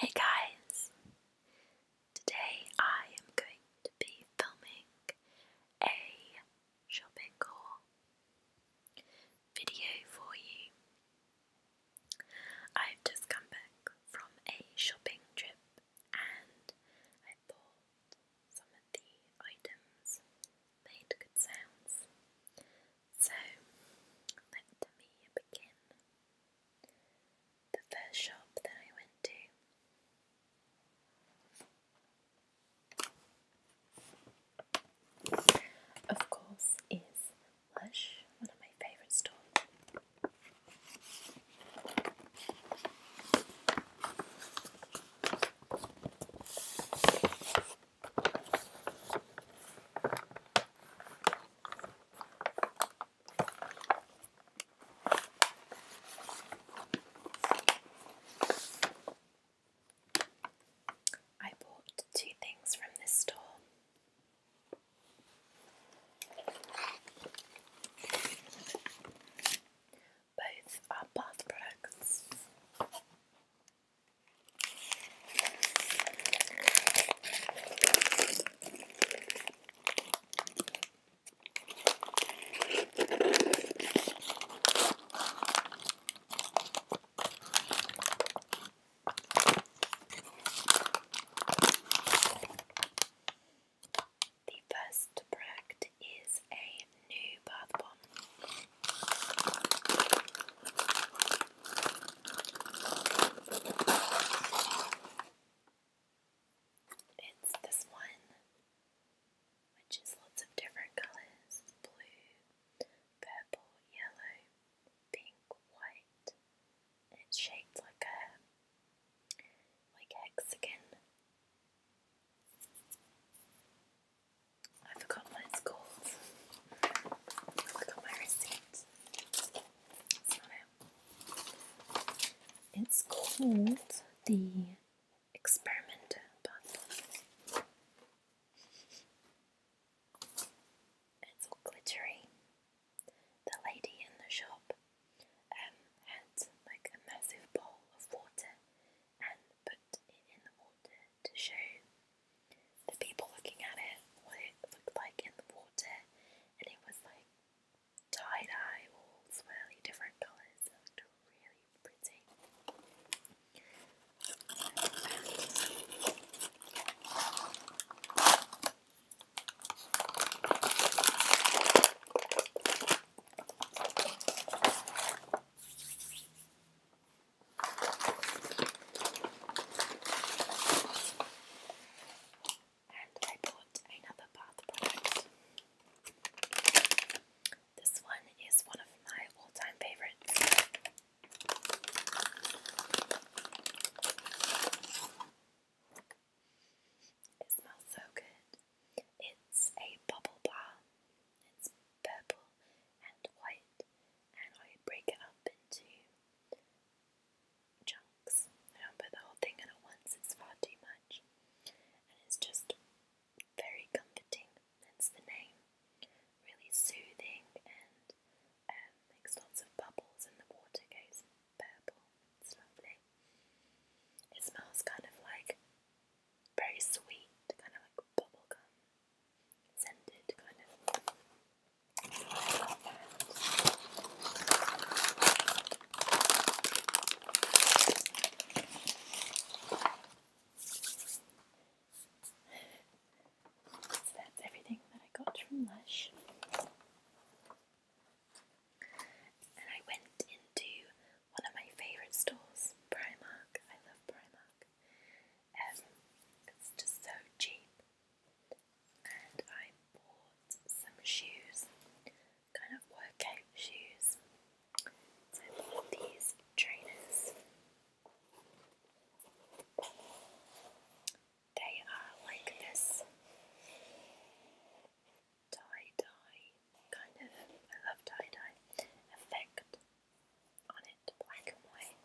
Hey guys! Today I am going to be filming a shopping haul video for you. I've just come back from a shopping trip and I bought some of the items made good sounds. So let me begin. The first shop that I went to of course, is Lush one of my favourite stores. I bought two things from this store. Both are bath products. The first product is a new bath bomb. It's this one which is lots of different colours blue, purple, yellow, pink, white. It's shaped like a like hexagon. I forgot what it's called. I forgot my receipt. It's called the experiment, but it's all glittery. The lady in the shop um, had like a massive bowl of water and put it in the water to show the people looking at it what it looked like in the water, and it was like tie dye, all swirly different colours really pretty. And I bought another bath product. This one is one of my all time favorites. It smells so good. It's a bubble bar. It's purple and white, and I break it up into chunks. I don't put the whole thing in at once, it's far too much. And it's just very comforting, hence the name. Really soothing and um, makes lots of bubbles, and the water goes purple. It's lovely. It smells kind of like very sweet, kind of like bubblegum scented, kind of. So that's everything that I got from Lush. And I went into one of my favourite stores, Primark. I love Primark. Um, it's just so cheap. And I bought some shoes kind of workout shoes. So these trainers. They are like this tie-dye kind of, I love tie-dye effect on it, black and white.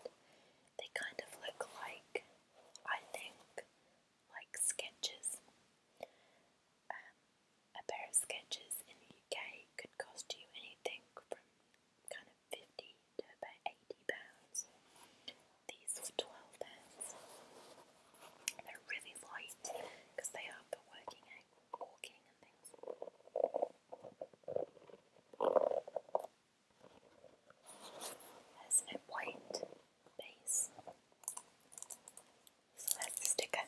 They kind of look like, I think, like sketches. Um, a pair of sketches in the UK could cost you anything from kind of 50 to about 80 pounds. These were 12 pounds. They're really light because they are for working out, walking and things. There's a white base. So that's the sticker.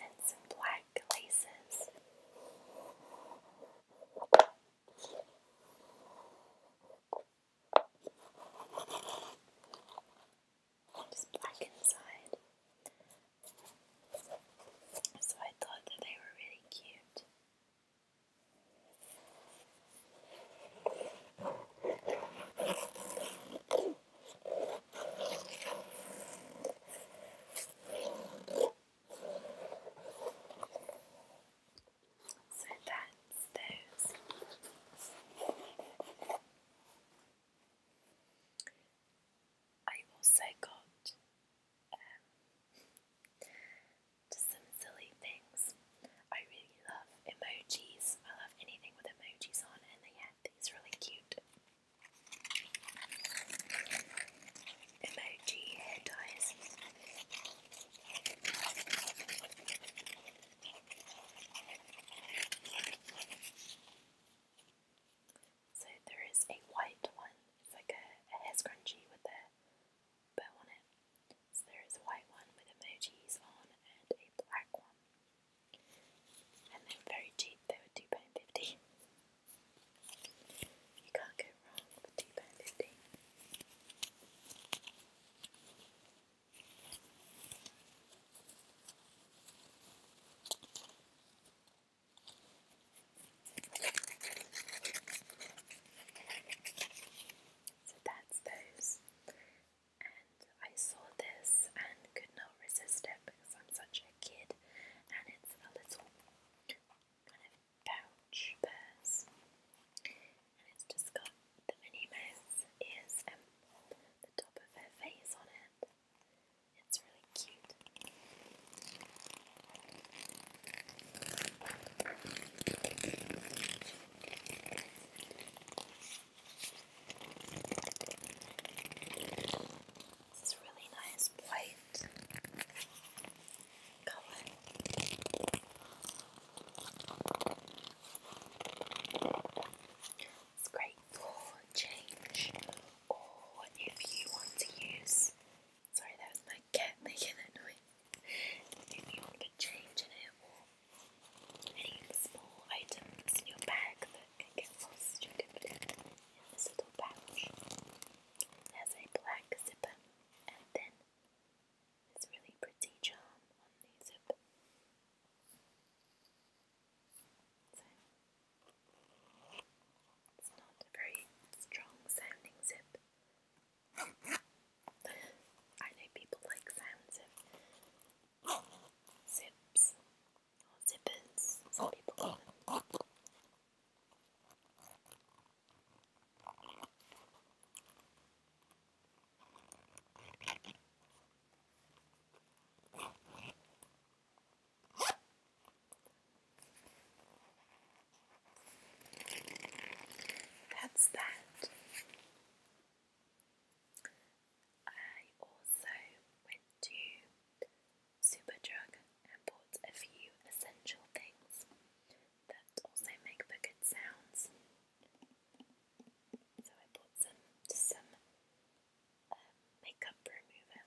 And some black laces. It's black inside. So I thought that they were really cute. So that's those. I also got um, just some silly things. I really love emojis. I love anything with emojis on, and they had these really cute emoji hair so there is a white one. It's like a, hair scrunchie with a bow on it. So there is a white one with emojis on and a black one. And they were very cheap. They were two pound fifty. You can't go wrong with two pound fifty. So that's those. And I saw this and could not resist it because I'm such a kid and it's a little pouch purse, it's just got the Minnie Mouse ears and um, the top of her face on it. It's really cute. This is really nice white color. It's great for change, or if you want to use. Sorry, that was my cat making that noise. If you want to change in it, or any small items in your bag that can get lost, you can put it in this little pouch. There's a black zipper, and then this really pretty charm on the zip. it's not a very strong sounding zip. I know people like sounds zips zippers, some people that's that. I also went to Superdrug and bought a few essential things that also make bucket sounds. So I bought some some uh, makeup remover.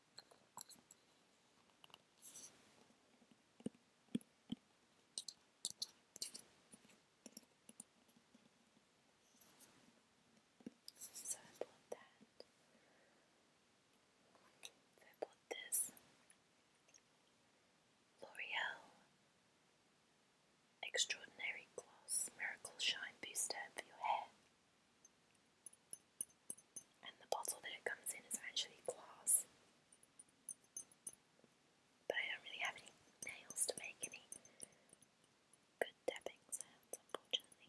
So I bought that. I bought this L'Oreal Extraordinary Gloss Miracle Shine Booster for your hair. And the bottle that it comes in is actually glass. But I don't really have any nails to make any good tapping sounds, unfortunately.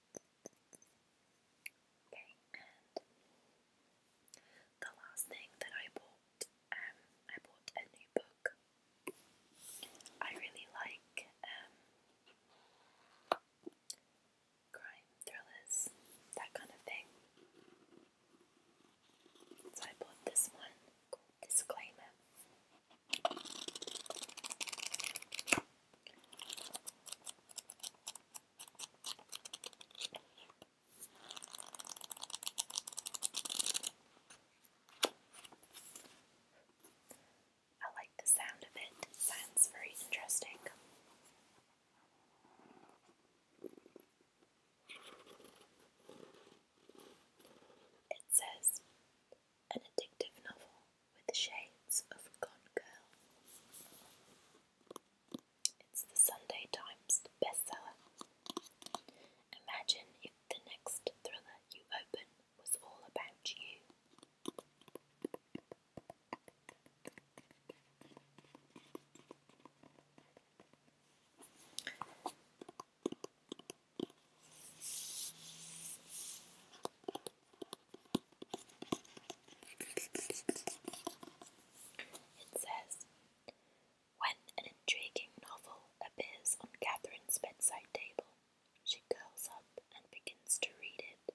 Okay, and the last thing that I bought, um, I bought a new book. I really like um, crime thrillers, that kind of thing. So I bought this one Disclaimer. I like the sound of it, sounds very interesting. It says, an addictive novel with the shades of Gone Girl. It's the Sunday Times bestseller. Imagine if the next thriller you open was all about you. It says When an intriguing novel appears on Catherine's bedside table, she curls up and begins to read it.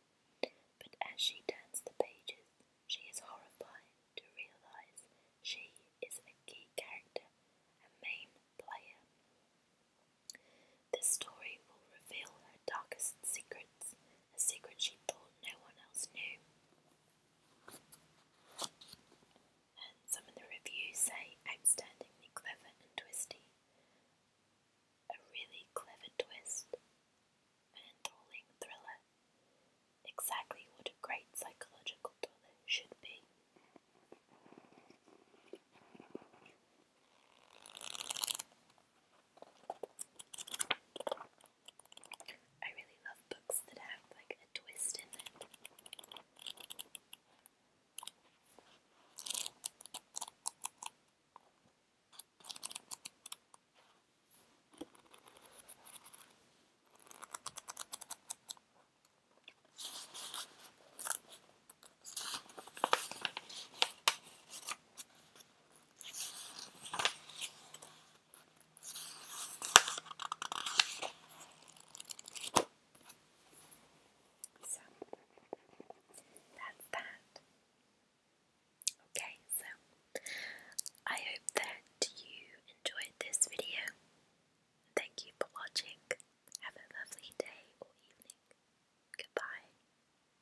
But as she turns the pages, she is horrified to realize she is a key character, a main player. This story will reveal her darkest secrets a secret she thought no one else knew. And some of the reviews say outstandingly clever and twisty, a really clever twist, an enthralling thriller, exactly what a great psychological thriller should be. I really love books that have like a twist in them. So that's that. Okay, so I hope that you enjoyed this video. Thank you for watching. Have a lovely day or evening. Goodbye.